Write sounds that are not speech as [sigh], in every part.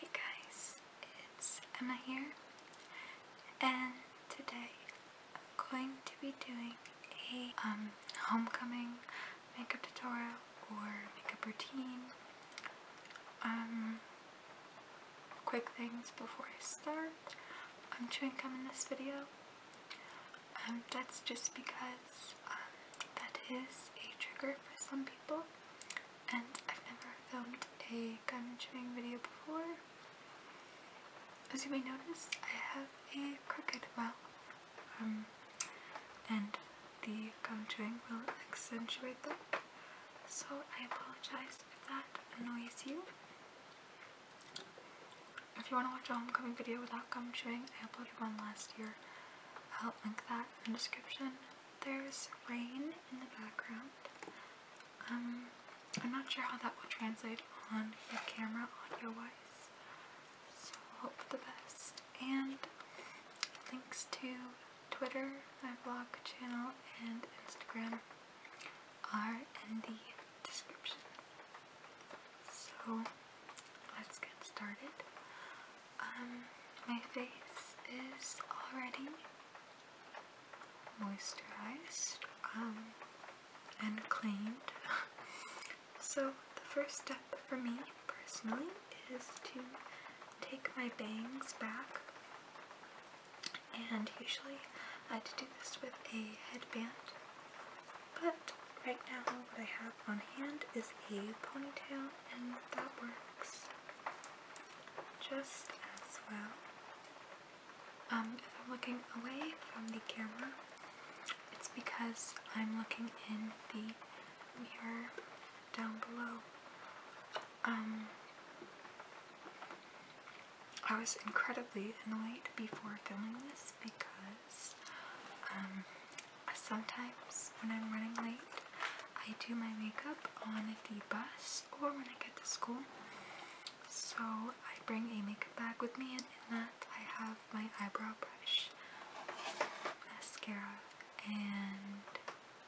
Hey guys, it's Emma here, and today I'm going to be doing a um, homecoming makeup tutorial or makeup routine. Um, quick things before I start. I'm chewing gum in this video. Um, that's just because um, that is a trigger for some people and I've never filmed a gum chewing video before. As you may notice, I have a crooked mouth, um, and the gum chewing will accentuate them. So I apologize if that annoys you. If you want to watch a homecoming video without gum chewing, I uploaded one last year. I'll link that in the description. There's rain in the background. Um, I'm not sure how that will translate on the camera audio-wise, so hope for the best. And links to Twitter, my blog channel, and Instagram are in the description. So, let's get started. Um, my face is already moisturized um, and cleaned. [laughs] so the first step for me personally is to take my bangs back and usually I had to do this with a headband but right now what I have on hand is a ponytail and that works just as well. Um, if I'm looking away from the camera, it's because I'm looking in the mirror down below. Um, I was incredibly annoyed before filming this because um, sometimes when I'm running late, I do my makeup on the bus or when I get to school. So I bring a makeup bag with me and in that I have my eyebrow brush, mascara, and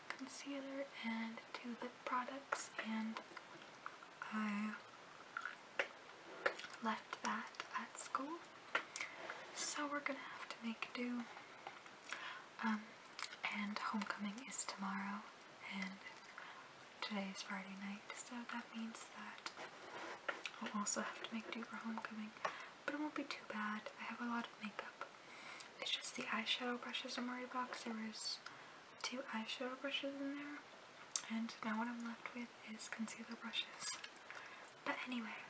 concealer and two lip products and I left that at school. So we're gonna have to make do. Um, and homecoming is tomorrow and today is Friday night so that means that I'll also have to make do for homecoming but it won't be too bad. I have a lot of makeup. It's just the eyeshadow brushes are am worried about because there was two eyeshadow brushes in there and now what I'm left with is concealer brushes. But anyway,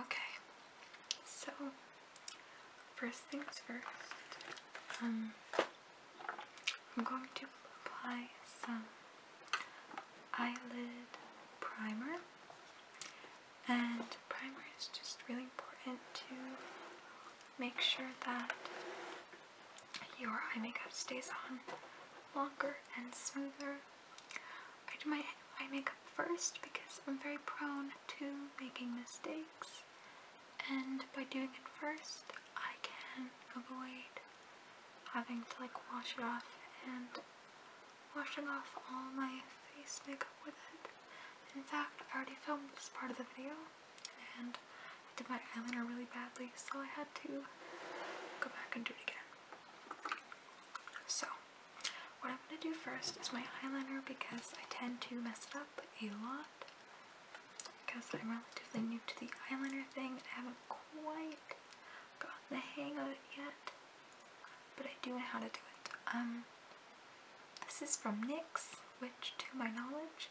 Okay, so first things first, um, I'm going to apply some eyelid primer, and primer is just really important to make sure that your eye makeup stays on longer and smoother. I do my eye makeup first because I'm very prone to making mistakes and by doing it first I can avoid having to like wash it off and washing off all my face makeup with it. In fact, I already filmed this part of the video and I did my eyeliner really badly so I had to go back and do it again. So, what I'm going to do first is my eyeliner because I tend to mess it up a lot because I'm relatively new to the eyeliner thing I haven't quite got the hang of it yet, but I do know how to do it. Um, This is from NYX, which to my knowledge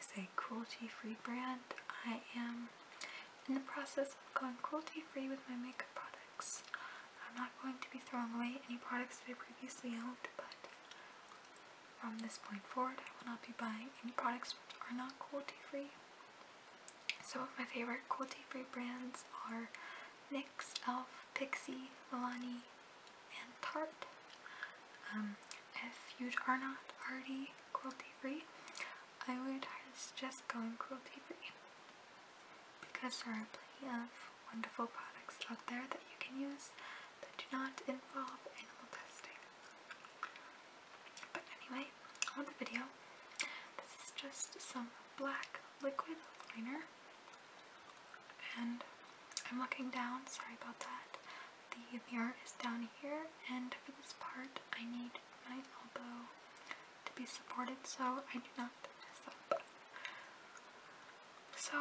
is a cruelty-free brand. I am in the process of going cruelty-free with my makeup products. I'm not going to be throwing away any products that I previously owned, but from this point forward, I will not be buying any products which are not cruelty free. Some of my favorite cruelty free brands are NYX, e.l.f., Pixie, Milani, and Tarte. Um, if you are not already cruelty free, I would suggest going cruelty free because there are plenty of wonderful products out there that you can use that do not involve animal testing. But anyway, on the video, this is just some black liquid liner, and I'm looking down, sorry about that. The mirror is down here, and for this part, I need my elbow to be supported so I do not mess up. So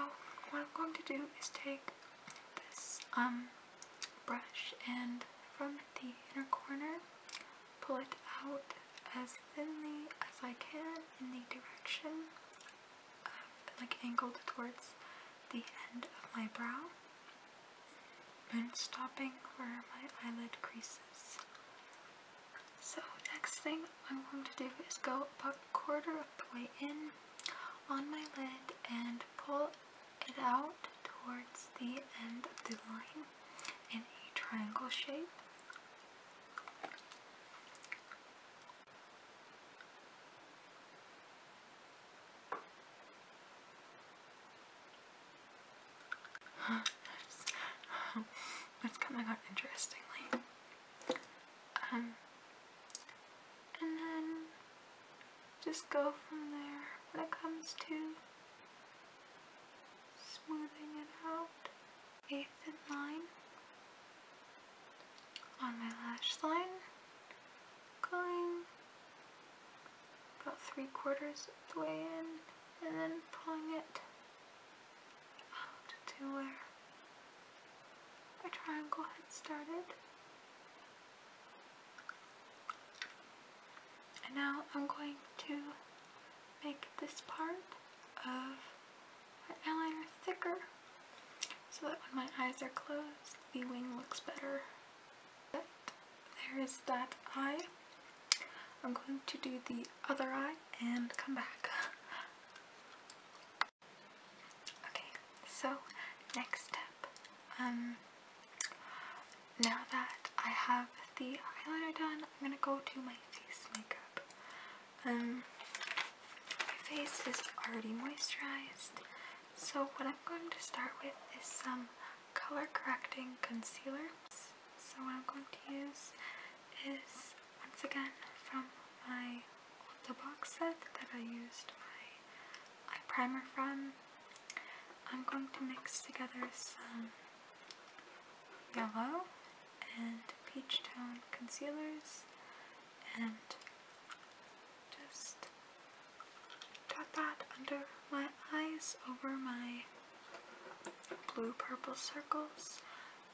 what I'm going to do is take this um brush and from the inner corner pull it out as thinly as I can in the direction like angled towards the end of my brow and stopping where my eyelid creases. So next thing I'm going to do is go about a quarter of the way in on my lid and pull it out towards the end of the line in a triangle shape that's, coming out interestingly. Um, and then just go from there when it comes to smoothing it out. A thin line on my lash line, going about three quarters of the way in, and then pulling it to where my triangle had started. And now I'm going to make this part of my eyeliner thicker so that when my eyes are closed, the wing looks better. there is that eye. I'm going to do the other eye and come back. Okay, so next step. Um, now that I have the eyeliner done, I'm gonna go to my face makeup. Um, my face is already moisturized, so what I'm going to start with is some color correcting concealers. So what I'm going to use is once again from my the box set that I used my eye primer from. I'm going to mix together some yellow and peach tone concealers and just dot that under my eyes over my blue purple circles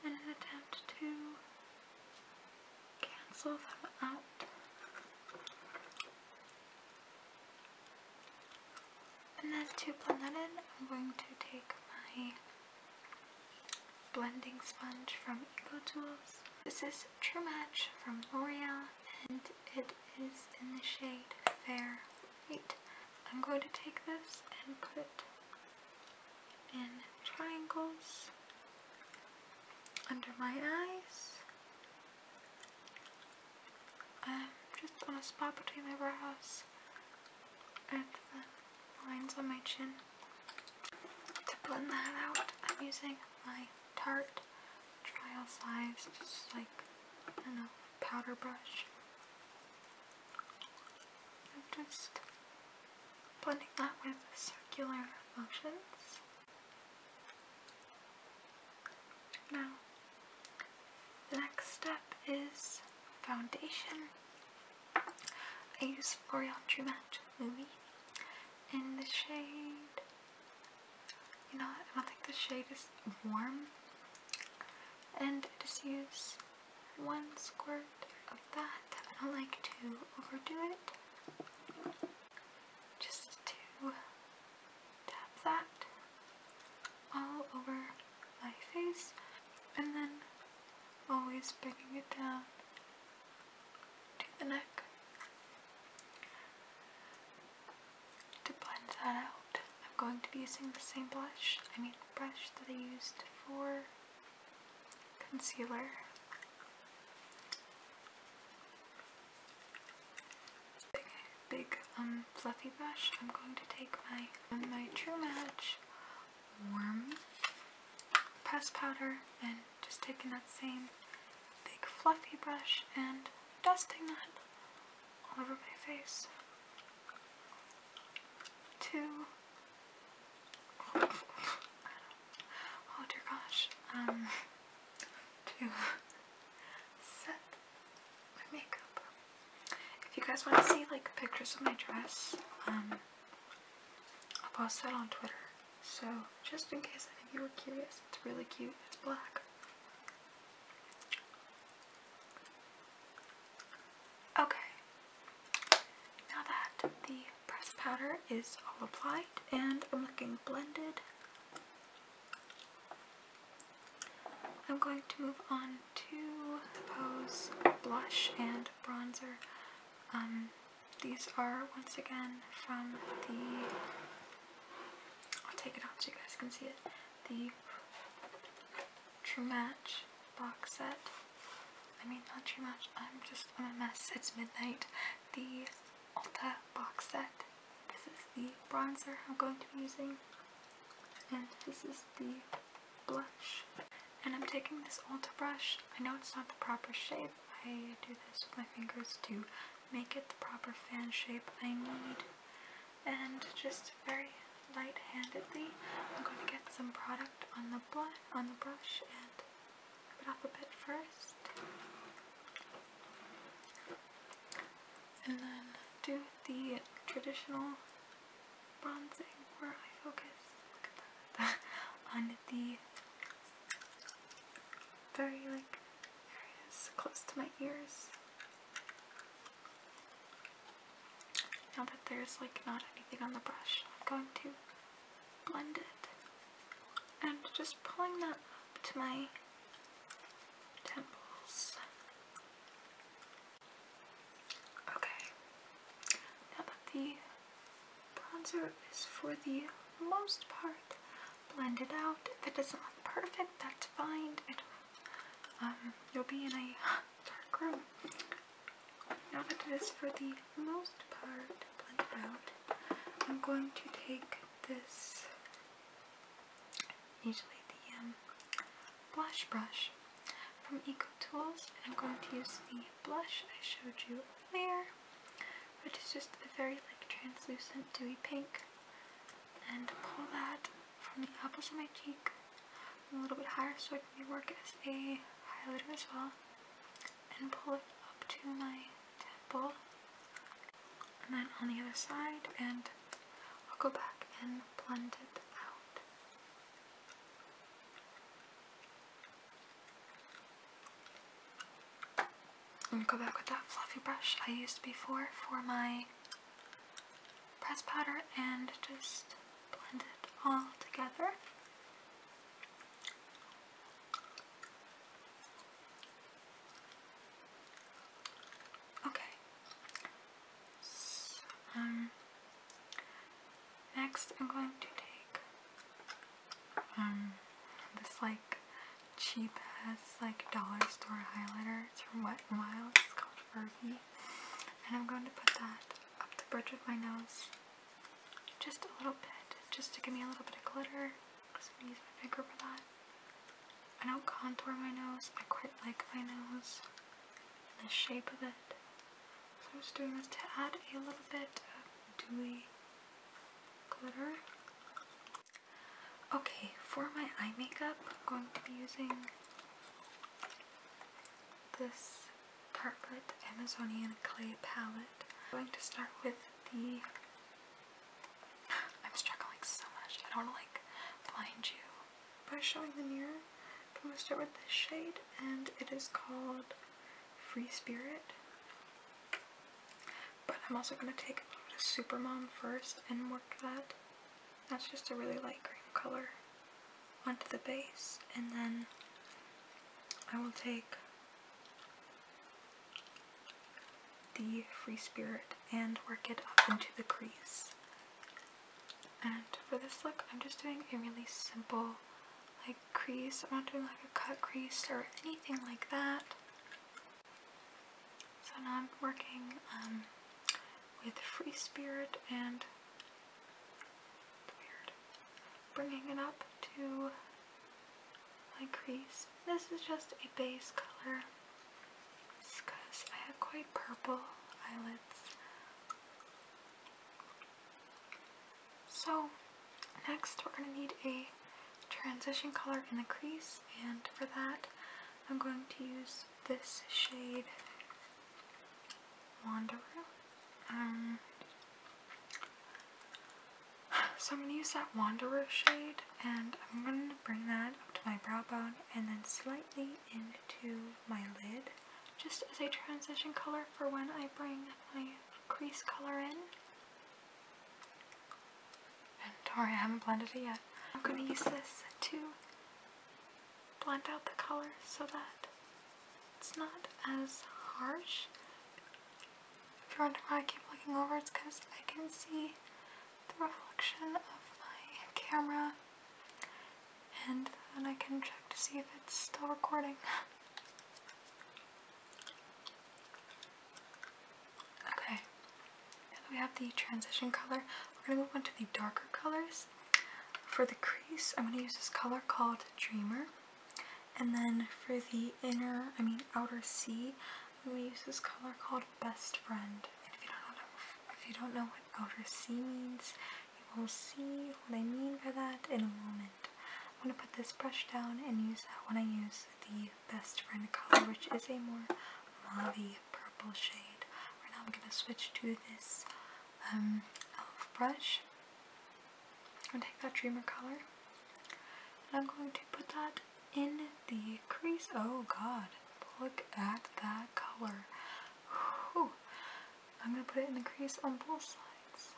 in an attempt to cancel them out. And then to blend that in, I'm going to take my blending sponge from EcoTools. This is True Match from L'Oreal and it is in the shade Fair Light. I'm going to take this and put and triangles under my eyes. Um, just on a spot between my brows and the lines on my chin. To blend that out, I'm using my Tarte trial size, just like, I know, powder brush. I'm just blending that with circular motions. Now, the next step is foundation. I use L'Oreal True Match Movie in the shade, you know, I don't think the shade is warm, and it is used one squirt of that. I don't like to overdo it. Just to tap that all over my face and then always bringing it down to the neck to blend that out. I'm going to be using the same blush, I mean brush that I used for concealer. Big, big, um, fluffy brush. I'm going to take my my True Match warm pressed powder and just taking that same big fluffy brush and dusting that all over my face to oh dear gosh, um, to set my makeup. If you guys want to see like pictures of my dress, um, I'll post that on Twitter. So just in case any you were curious, it's really cute. It's black. Okay, now that the pressed powder is all applied and I'm looking blended, I'm going to move on to the Pose Blush and Bronzer. Um, these are once again from the, I'll take it out so you guys can see it, the True Match box set. I mean, not too much. I'm just i a mess. It's midnight. The Ulta box set. This is the bronzer I'm going to be using, and this is the blush. And I'm taking this Ulta brush. I know it's not the proper shape. I do this with my fingers to make it the proper fan shape I need. And just very light-handedly. I'm going to get some product on the brush and rub off a bit first. And then do the traditional bronzing where I focus [laughs] on the very like areas close to my ears. Now that there's like not anything on the brush, I'm going to blend it. And just pulling that up to my temples. Okay. Now that the bronzer is for the most part blended out, if it doesn't look perfect, that's fine. um, you'll be in a dark room. Now that it is for the most part blended out, I'm going to take this, usually the um, blush brush from Eco Tools, and I'm going to use the blush I showed you there, which is just a very like translucent dewy pink, and pull that from the apples of my cheek a little bit higher so I can work as a highlighter as well and pull it up to my temple and then on the other side and I'll go back and blend it out. I'm gonna go back with that fluffy brush I used before for my press powder and just blend it all together. Okay. um, next I'm going to take um this like cheap as like dollar store highlighter. It's from Wet n Wild. It's called Furby. And I'm going to put that up the bridge of my nose just a little bit, just to give me a little bit of glitter because i going to use my finger for that. I don't contour my nose, I quite like my nose the shape of it. So I'm just doing this to add a little bit of dewy glitter. Okay, for my eye makeup, I'm going to be using this Tartlet Amazonian Clay Palette. I'm going to start with the... [sighs] I'm struggling so much, I don't want to like blind you. By showing the mirror, I'm going to start with this shade and it is called Free Spirit. But I'm also going to take a little bit of Supermom first and work that. That's just a really light green color onto the base and then I will take the Free Spirit and work it up into the crease. And for this look, I'm just doing a really simple like crease. I'm not doing like a cut crease or anything like that. So now I'm working um, with free spirit and bringing it up to my crease. This is just a base color because I have quite purple eyelids. So next we're going to need a transition color in the crease and for that I'm going to use this shade Wanderer, and um, so I'm gonna use that Wanderer shade, and I'm gonna bring that up to my brow bone, and then slightly into my lid, just as a transition color for when I bring my crease color in. And sorry, I haven't blended it yet. I'm gonna use this too blend out the color so that it's not as harsh. If you're wondering why I keep looking over, it's because I can see the reflection of my camera and then I can check to see if it's still recording. [laughs] Okay, we have the transition color, we're going to move on to the darker colors. For the crease, I'm going to use this color called Dreamer. And then for the inner, I mean outer C, I'm going to use this color called Best Friend. if you don't know, what outer C means, you will see what I mean by that in a moment. I'm going to put this brush down and use that when I use the Best Friend color, which is a more mauve purple shade. Right now I'm going to switch to this um, e.l.f. brush. I'm going to take that Dreamer color and I'm going to put that in the crease. Oh god, look at that color. I'm going to put it in the crease on both sides.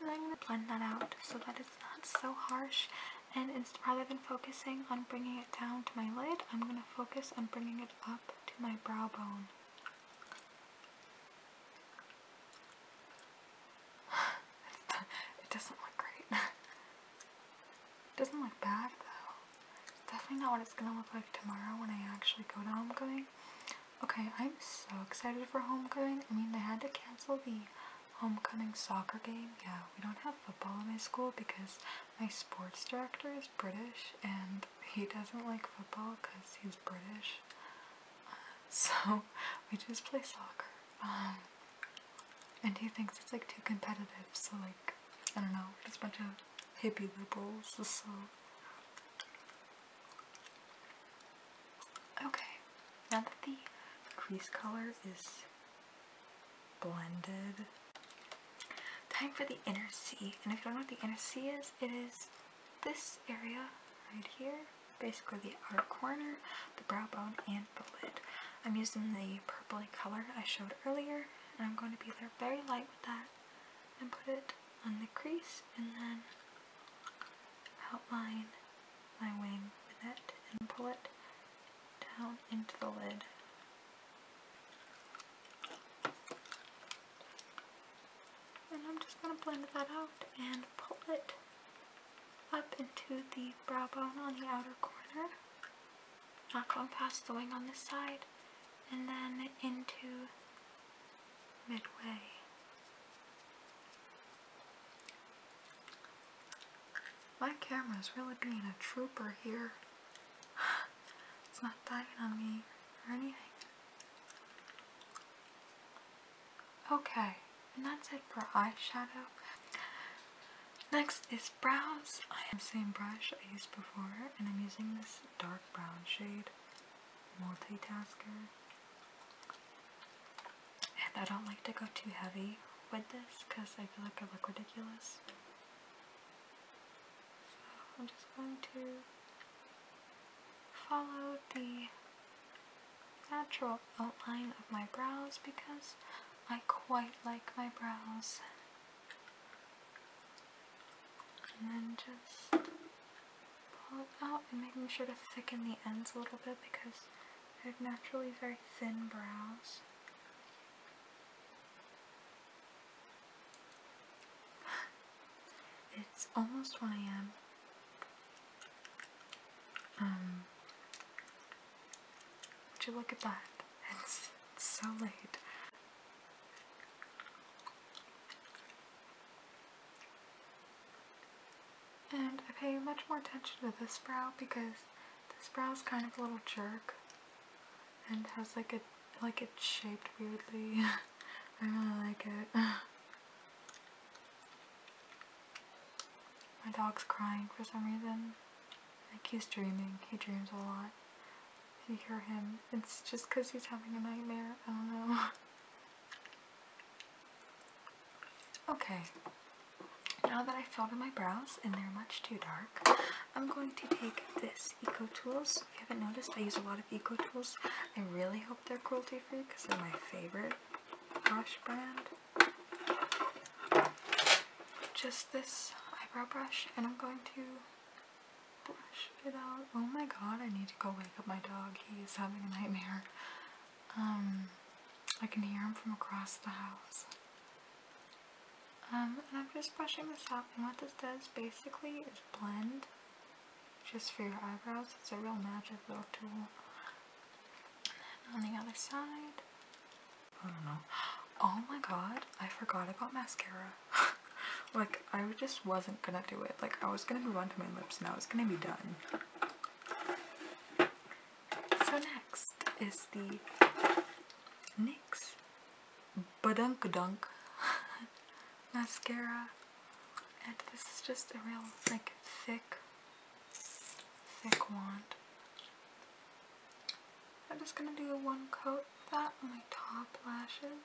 And I'm going to blend that out so that it's not so harsh and rather than focusing on bringing it down to my lid, I'm going to focus on bringing it up to my brow bone it doesn't look great. doesn't look bad though. definitely not what it's gonna look like tomorrow when I actually go to homecoming. Okay, I'm so excited for homecoming. I mean, they had to cancel the homecoming soccer game. Yeah, we don't have football in my school because my sports director is British and he doesn't like football because he's British. [laughs] so we just play soccer. Um, and he thinks it's like too competitive, so like, I don't know, just a bunch of hippie liberals, so. Okay, now that the crease color is blended, Time for the inner C, And if you don't know what the inner C is, it is this area right here. Basically the outer corner, the brow bone, and the lid. I'm using the purpley color I showed earlier, and I'm going to be very light with that and put it on the crease and then outline my wing with it and pull it down into the lid. And I'm just going to blend that out and pull it up into the brow bone on the outer corner. Not going past the wing on this side. And then into midway. My camera is really being a trooper here. [gasps] it's not dying on me or anything. Okay, and that's it for eyeshadow. Next is brows. I have the same brush I used before, and I'm using this dark brown shade, Multitasker. And I don't like to go too heavy with this because I feel like I look ridiculous. So I'm just going to follow the natural outline of my brows because I quite like my brows. And then just pull it out and making sure to thicken the ends a little bit because I have naturally very thin brows. It's almost 1 a.m. Um, would you look at that? It's, it's so late. And I pay much more attention to this brow because this brow is kind of a little jerk and has like a like it shaped weirdly. [laughs] I really like it. My dog's crying for some reason. Like he's dreaming. He dreams a lot. you hear him, it's just because he's having a nightmare. I don't know. [laughs] Okay, now that I filled in my brows and they're much too dark, I'm going to take this Eco Tools. If you haven't noticed, I use a lot of Eco Tools. I really hope they're cruelty free because they're my favorite brush brand. Just this eyebrow brush, and I'm going to brush it out. Oh my god, I need to go wake up my dog. He is having a nightmare. Um, I can hear him from across the house. Um, and I'm just brushing this out, and what this does basically is blend just for your eyebrows. It's a real magic little tool. on the other side, I don't know. Oh my god, I forgot about mascara. [laughs] like, I just wasn't gonna do it. Like, I was gonna move on to my lips now. It's gonna be done. So next is the NYX badunk dunk [laughs] mascara. And this is just a real like thick, thick wand. I'm just gonna do one coat of that on my top lashes.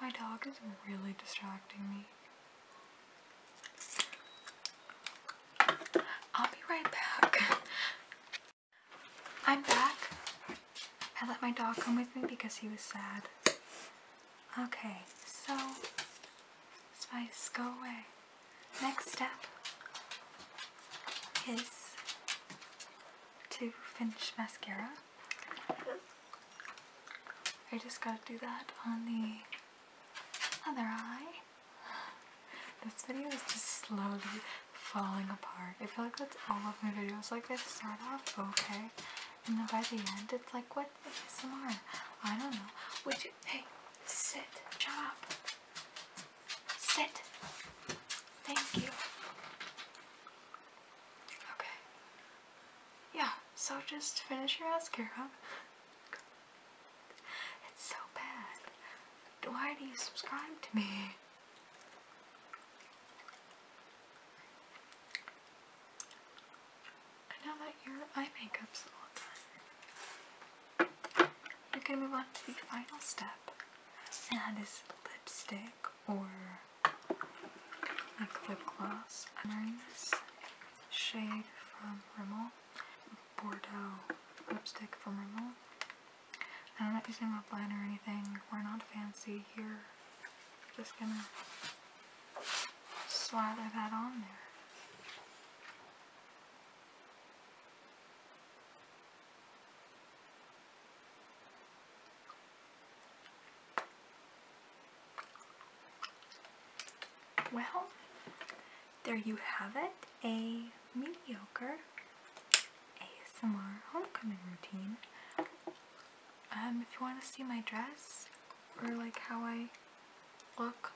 My dog is really distracting me. I'll be right back. [laughs] I'm back. I let my dog come with me because he was sad. Okay, so spice, go away. Next step is to finish mascara. I just gotta do that on the other eye. This video is just slowly falling apart. I feel like that's all of my videos. Like I start off okay, and then by the end, it's like what ASMR? I don't know. Would you? Hey, sit. Shut up. Sit. Thank you. Okay. Yeah. So just finish your mascara. It's so bad. Why do you subscribe to me? I know that your eye makeup's done. We're move on to the final step, and that is lipstick or lip gloss. I'm shade from Rimmel, Bordeaux lipstick from Rimmel. I'm not using lip liner or anything. We're not fancy here. Just gonna slather that on there. Well, there you have it, a mediocre ASMR homecoming routine. Um, if you want to see my dress or like how I look,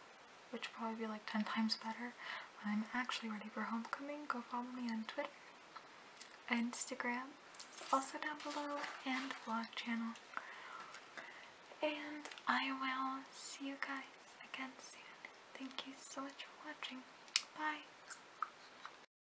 which probably be like 10 times better when I'm actually ready for homecoming, go follow me on Twitter, Instagram, also down below, and vlog channel. And I will see you guys again soon. Thank you so much for watching. Bye.